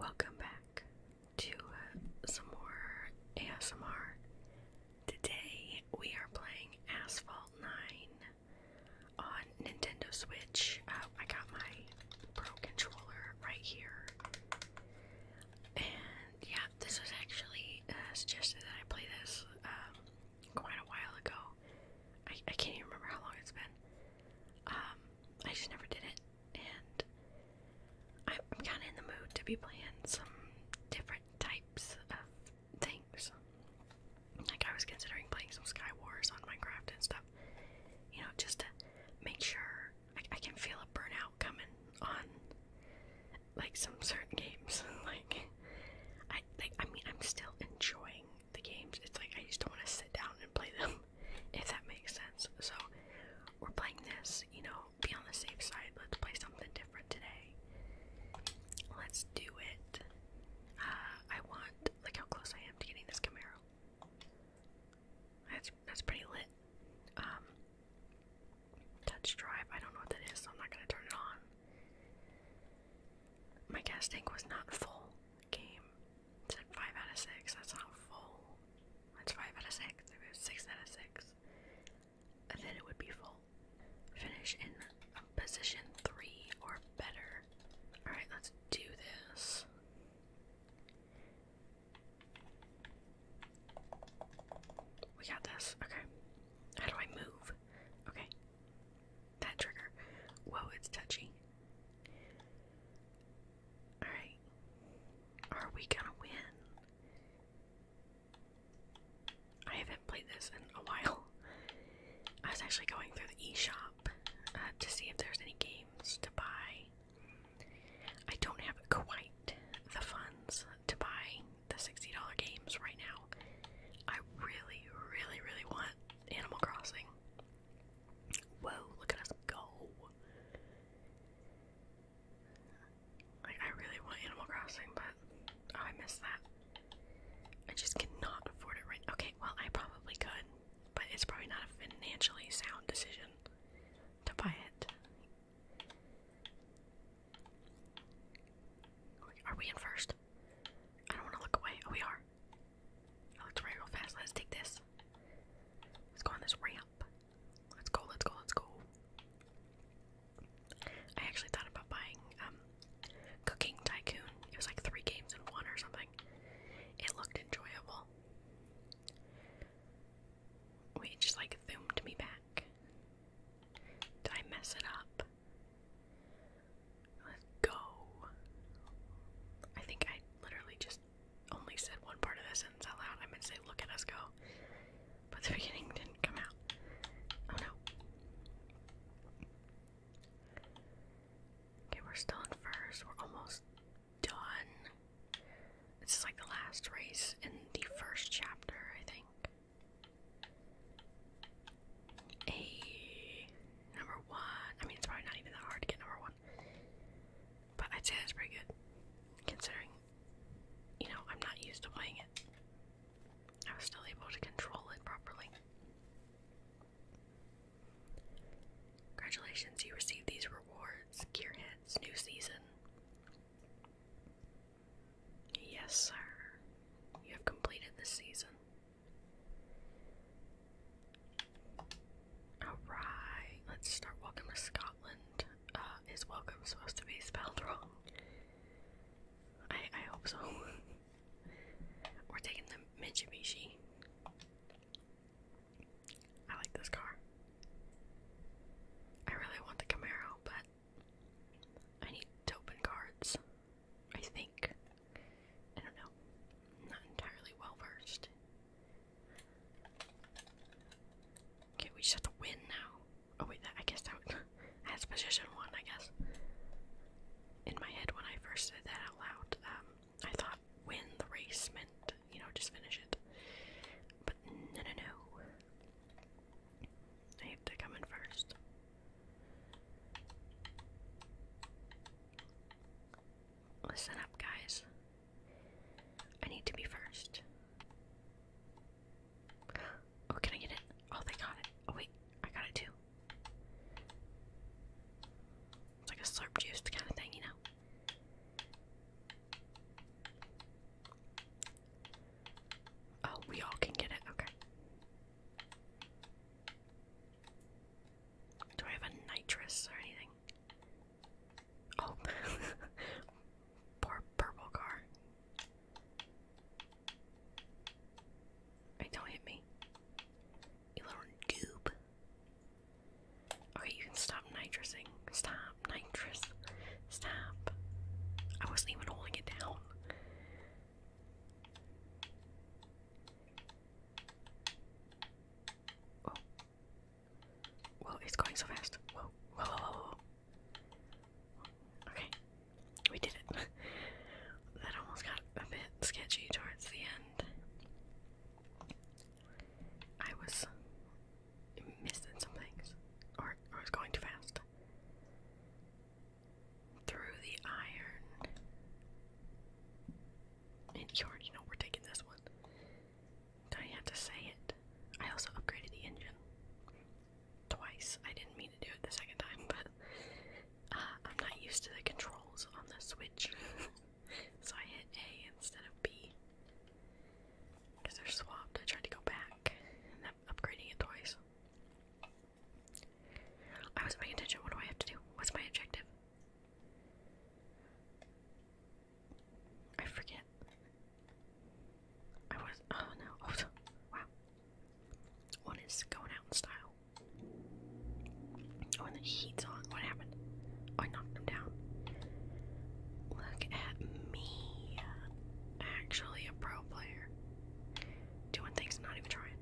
Welcome back to uh, some more ASMR. Today we are playing Asphalt 9 on Nintendo Switch. Uh, I got my Pro Controller right here. And yeah, this was actually uh, suggested that I play this um, quite a while ago. I, can't even remember how long it's been. Um, I just never did it and I'm kind of in the mood to be playing some different types of things. Like, I was considering playing some Sky Wars on Minecraft and stuff, you know, just to make sure I, can feel a burnout coming on like some certain games. like, I, like, I mean, I'm still enjoying the games. It's like I just don't want to sit down and play them if that makes sense. So we're playing this, you know, be on the safe side. Let's play something different today. Let's do it. Uh, I want Look how close I am to getting this Camaro. That's that's pretty lit. Um, touch drive. I don't know what that is, so I'm not gonna turn it on. My gas tank was not full. Game it like 5 out of 6. That's not full. That's 5 out of 6. If it was 6 out of 6, then it would be full. Finish in position 3 or better. Alright, let's do this. We got this. Okay. How do I move? Okay. That trigger. Whoa, it's touchy. Alright. Are we gonna win? I haven't played this in a while. I was actually going through the e shop uh, to see if there's any games to buy. I don't have quite the funds to buy the $60 games right now. I really, really, really want Animal Crossing. Whoa, look at us go. Like, I really want Animal Crossing, but oh, I missed that. I just cannot afford it right Okay, well, I probably could, but it's probably not a financially sound decision to buy it. Are we in first? I don't want to look away. Oh, we are. I looked away real fast. Let's take this. Let's go on this ramp. Let's go, let's go, let's go. I actually thought about buying um Cooking Tycoon. It was like three games in one or something. It looked enjoyable. Wait, just like zoomed me back. Did I mess it up? Let's go. I think I literally just just only said one part of the sentence out loud. I meant to say, look at us go. But the beginning didn't come out. Oh no. Okay, we're still in first. We're almost done. This is like the last race in the first chapter, I think. A number one. I mean, it's probably not even that hard to get number one. But I'd say that's pretty good, considering, you know, I'm not used to playing it. I was still able to control it properly. Congratulations, you received these rewards. gear heads, new season. Yes, sir. You have completed the season. Alright, let's start Welcome to Scotland. Uh, is welcome supposed to be spelled wrong? I, I hope so. We're taking the Mitsubishi. I like this car. I really want the Camaro, but I need to cards. I think. I don't know. I'm not entirely well versed Okay, we just have to win now. Oh wait, I guess that that's position one, I guess. In my head, when I first said that out loud, um, I thought win the race meant, you know, just finish it. But no, no, no. I have to come in first. Listen up, guys. I need to be first. Oh, can I get it? Oh, they got it. Oh, wait, I got it too. It's like a slurp juice kind of thing, you know? Oh, we all can get it. Okay. Do I have a nitrous or anything? Oh, poor purple car. don't hit me. You little noob. Okay, you can stop nitrusing. Stop, nitrous. Stop. I wasn't even holding it down. Oh. Whoa, it's going so fast. Whoa, whoa, whoa, whoa, Okay, we did it. that almost got a bit sketchy towards the end. I was missing some things, or, I was going too fast. Through the iron. And you know we're taking this one. I have to say it. I also upgraded the engine twice. I didn't mean to do it the second time, but uh, I'm not used to the controls on the Switch, so I hit A instead of B because they're swapped. I tried to go back and I'm upgrading it twice. I wasn't paying attention. What do I have to do? What's my objective? I forget. I was. Oh no. Oh, wow. One is going out in style. Oh, the heat's on. What happened? Oh, I knocked him down. Look at me. Actually, a pro player. Doing things, not even trying.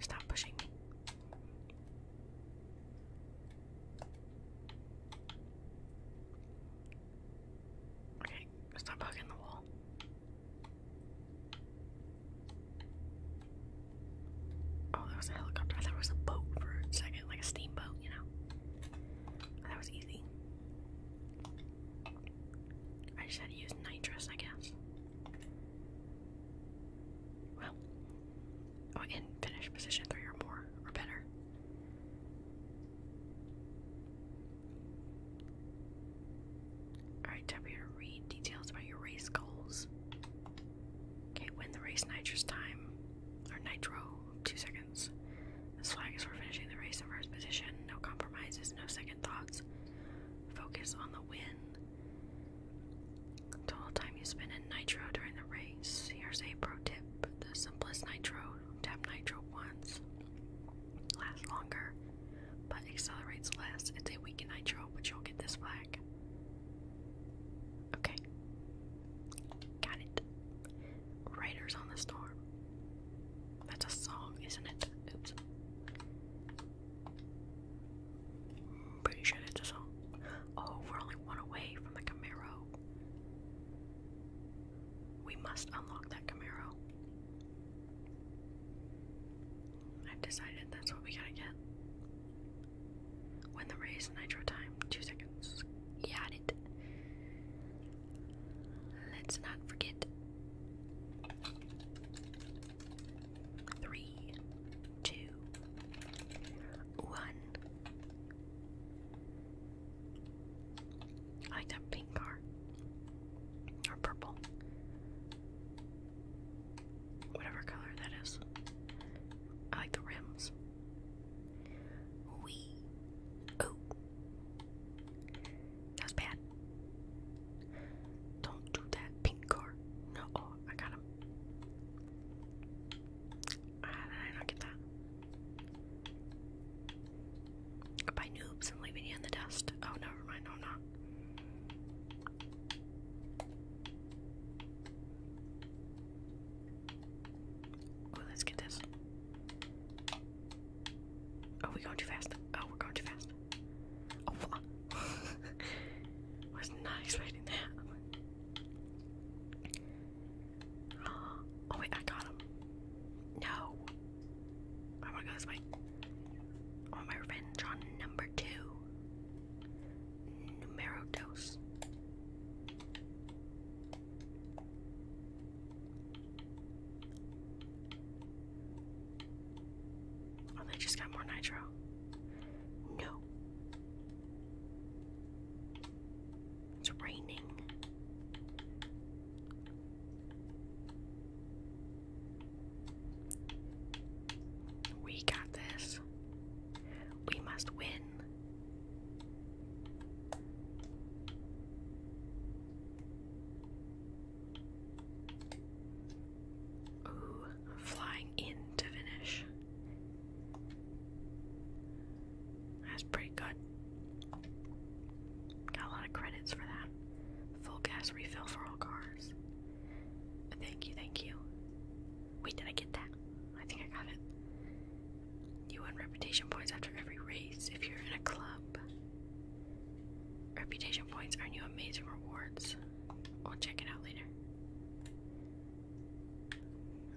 Stop pushing me. Okay, stop hugging the wall. Oh, there was a helicopter. I was a boat for a second, like a steamboat, you know. That was easy. I just had to use nitrous, I guess. Well, oh, in finish position three or more or better. Alright, time for you to read details about your race goals. Okay, win the race nitrous time, or nitro, two seconds. This flag is for finishing the race in first position, no compromises, no second thoughts. Focus on the win. Total time you spend in nitro during the race here's a pro tip. The simplest nitro, tap nitro once, lasts longer, but accelerates less. It's a weakened nitro, but you'll get this flag. Okay. Got it. Raiders on the Storm. That's a song, isn't it? Oops. Pretty sure that's a song. Oh, we're only one away from the Camaro. We must unlock that Camaro. I've decided that's what we gotta get. Win the race, nitro time, two seconds. Got it. Let's not forget. Three, two, one. I like that pink car. Or purple. Whatever color that is. I like the rims. Wee. Oh. That bad. Don't do that pink car. No. Oh, I got him. How did I not get that? By noobs and leaving you in the dust. Oh, never mind, i not. Oh, let's get this. Oh, we going too fast. Oh, we going too fast. Oh, was not expecting that. Oh wait, I got him. No. I wanna go this way. I my revenge on number two. Numero dos. Oh, they just got more nitro. No. It's raining. We got this. We must win. Ooh, flying in to finish. That's pretty good. Got a lot of credits for that. Full gas refill for all cars. Thank you, thank you. Wait, did I get that? I think I got it. You win reputation points after every race if you're in a club. Reputation points earn you amazing rewards. I'll check it out later.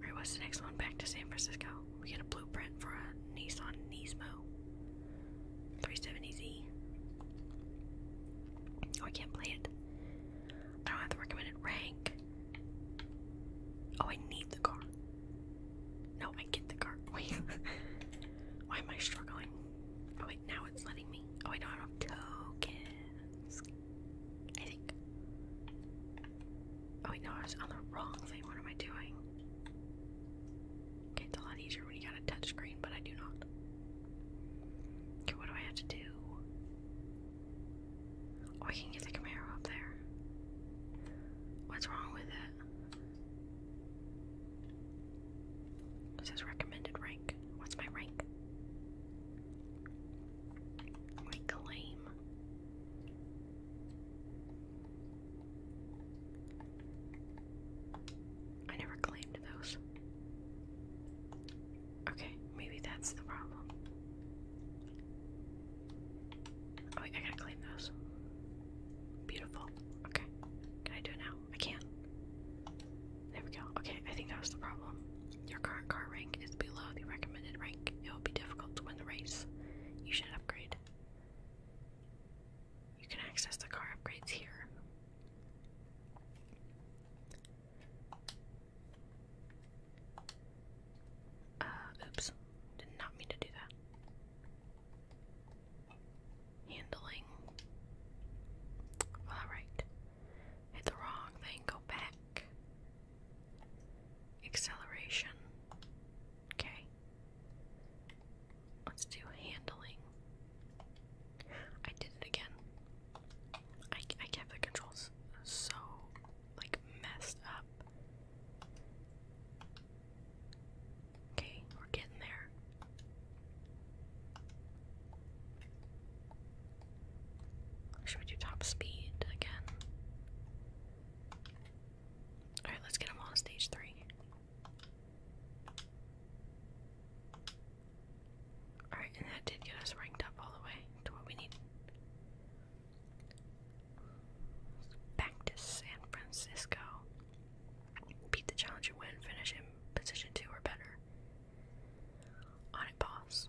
Alright, what's the next one? Back to San Francisco. We get a blueprint for a Nissan Nismo 370Z. Oh, I can't play it. I don't have the recommended rank. Oh, I need the car. No, I get the car. Wait. Why am I struggling? Oh, wait, now it's letting me. Oh, I don't have tokens. I think. Oh wait, no, I was on the wrong thing. What am I doing? Okay, it's a lot easier when you got a touch but I do not. Okay, what do I have to do? Oh, I can get the Camaro up there. What's wrong with it? It says recommended rank. What's my rank? My claim. I never claimed those. Okay, maybe that's the problem. Oh, wait, I gotta claim those. Beautiful. Okay. Can I do it now? I can. There we go. Okay, I think that was the problem. Your current car rank is below the recommended rank. It will be difficult to win the race. You should upgrade. You can access the car upgrades here. Uh, oops. Did not mean to do that. Handling. Alright. Hit the wrong thing, go back. Acceleration. Okay. Let's do handling. I did it again. I, I kept the controls so, like, messed up. Okay, we're getting there. Should we do top speed again? Alright, let's get them all to stage three. Alright, and that did get us ranked up all the way to what we need. Back to San Francisco. Beat the challenge and win. Finish in position two or better. On it, boss.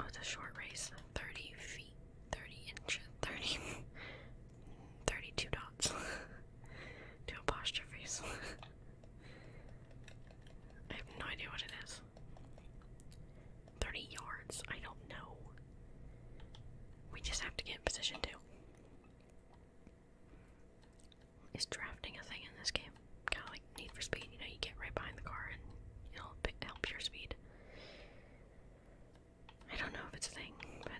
Oh, it's a short race. 30 feet. 30 inches, 30, 32 dots, two apostrophes. I have no idea what it is. 30 yards, I don't know. We just have to get in position too. Is drafting a thing in this game? Kind of like Need for Speed, you know, you get right behind the car and it'll help your speed. I don't know if it's a thing, but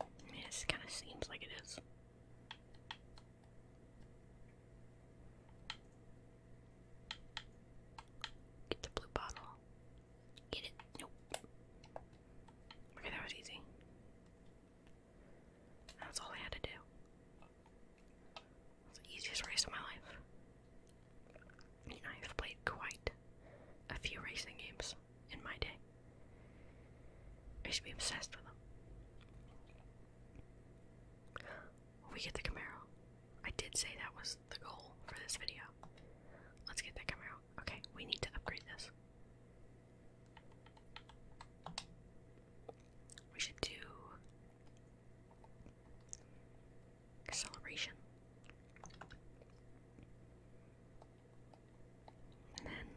it just kind of seems like it is. Get the blue bottle. Get it. Nope. Okay, that was easy. That's all I had to do. It's the easiest race of my life. I have played quite a few racing games in my day. I used be obsessed with them. We get the Camaro. I did say that was the goal for this video. Let's get that Camaro. Okay, we need to upgrade this. We should do Acceleration. And then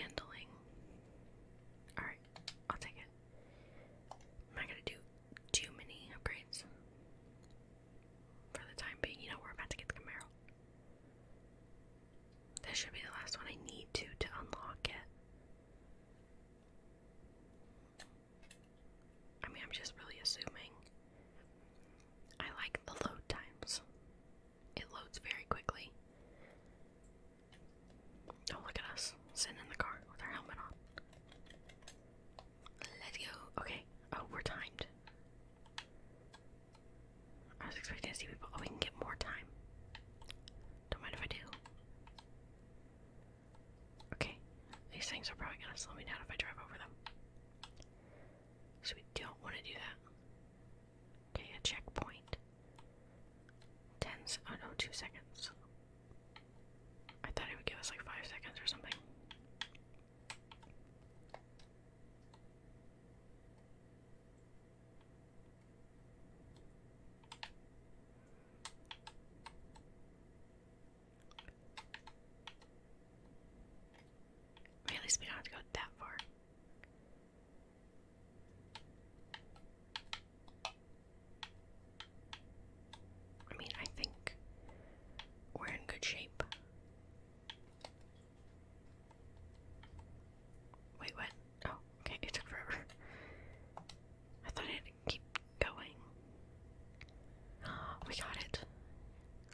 handling. Alright, I'll take it. am not gonna do too many upgrades. For the time being, you know, we're about to get the Camaro. This should be the last one I need to to unlock it. I mean, I'm just really assuming. I like the load times, it loads very quickly. Oh, look at us sitting in the car with our helmet on. let go. Okay. Oh, we're timed. I was expecting to see people. Oh, we can get more time. Don't mind if I do. Okay, these things are probably gonna slow me down if I drive over them. So we don't want to do that. Okay, a checkpoint. Ten. Oh no, two seconds. I thought it would give us like five seconds or something at least we don't have to go that far. I mean, I think we're in good shape. Wait, what? Oh, okay, it took forever. I thought it keep going. We got it.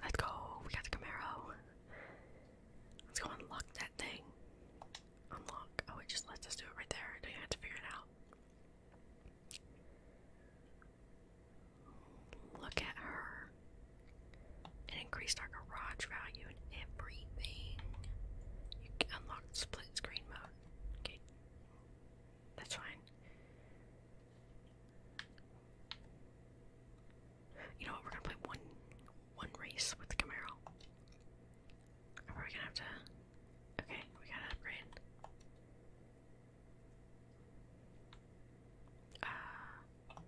Let's go. We got the Camaro. Let's go unlock that thing. Unlock. Oh, it just lets us do it right there. Don't have to figure it out. Look at her. It increased our garage value and everything. You unlock split screen mode. Okay. That's fine. You know We're gonna play one one race with Camaro. Are we gonna have to? Okay, we gotta upgrade. Uh,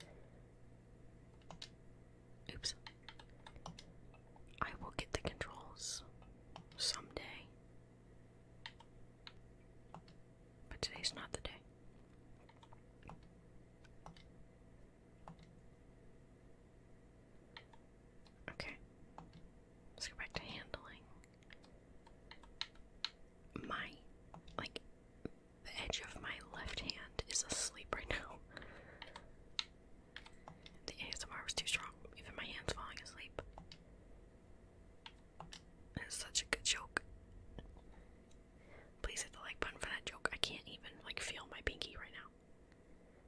oops. I will get the controls someday. But today's not the day. Okay. Let's go back to handling. My, like, the edge of my left hand is asleep right now. The ASMR was too strong. Even my hand's falling asleep. It's such a good joke. Please hit the like button for that joke. I can't even like feel my pinky right now.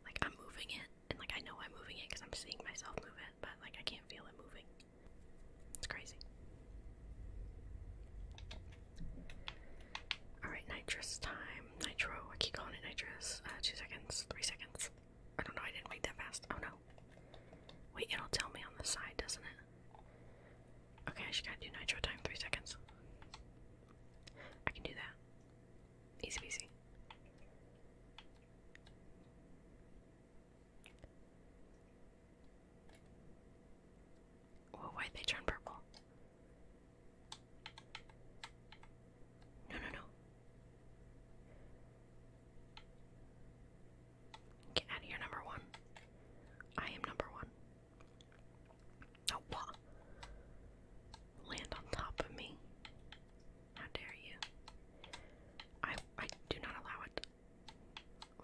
Like I'm moving it, and like I know I'm moving it because I'm seeing myself move it, but like I can't feel it moving. It's crazy. Alright, nitrous time. Nitro. I keep calling it nitrous. Uh, two seconds, three seconds. I don't know, I didn't read that fast. Oh no. Wait, it'll tell me on the side, doesn't it? Okay, I just gotta do nitro time three seconds. I can do that. Easy peasy. why they turn purple? No, no, no. Get out of here, number one. I am number one. Oh, wow. Land on top of me. How dare you? I I do not allow it.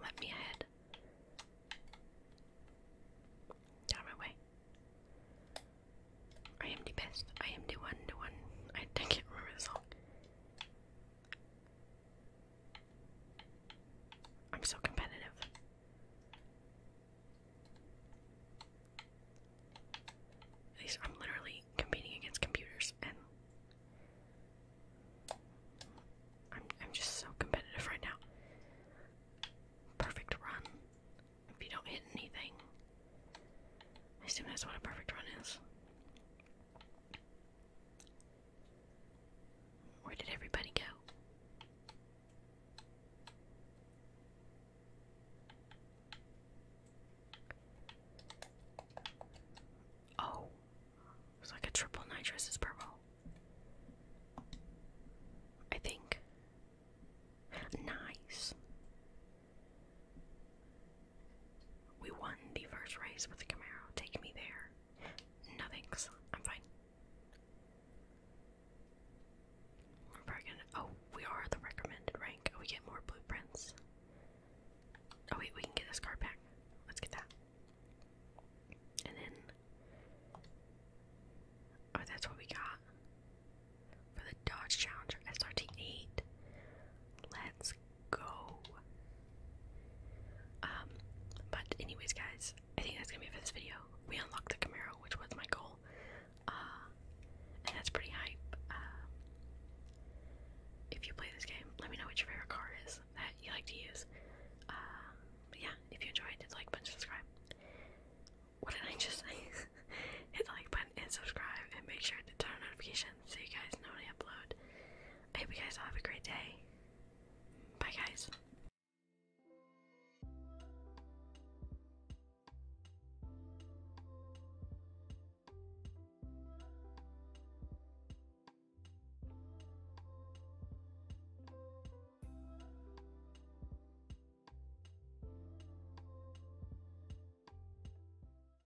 Let me ahead. Get my way. I am the best. I am the one, the one. I, I can't remember the song. I'm so competitive. These I'm literally competing against computers and I'm I'm just so competitive right now. Perfect run. If you don't hit anything. I assume that's what a perfect run is. Where did everybody go? Oh, it's like a triple nitrous is purple. I think. Nice. We won the first race with the Camaro. Take me there. No thanks. I'm fine. We're gonna. Oh, we are the recommended rank. We get more blueprints. Oh, wait, we can get this card back. Let's get that. And then. Oh, that's what we got. For the Dodge Challenger SRT8. Let's go. Um, but anyways, guys, I think that's gonna be for this video. We unlocked the Camaro, which was my goal, uh, and that's pretty hype. Uh, if you play this game, let me know what your favorite car is that you like to use. Uh, yeah, if you enjoyed, hit like button, subscribe. What did I just say? hit like button and subscribe, and make sure to turn on notifications so you guys know when I upload. I hope you guys all have a great day. Bye, guys.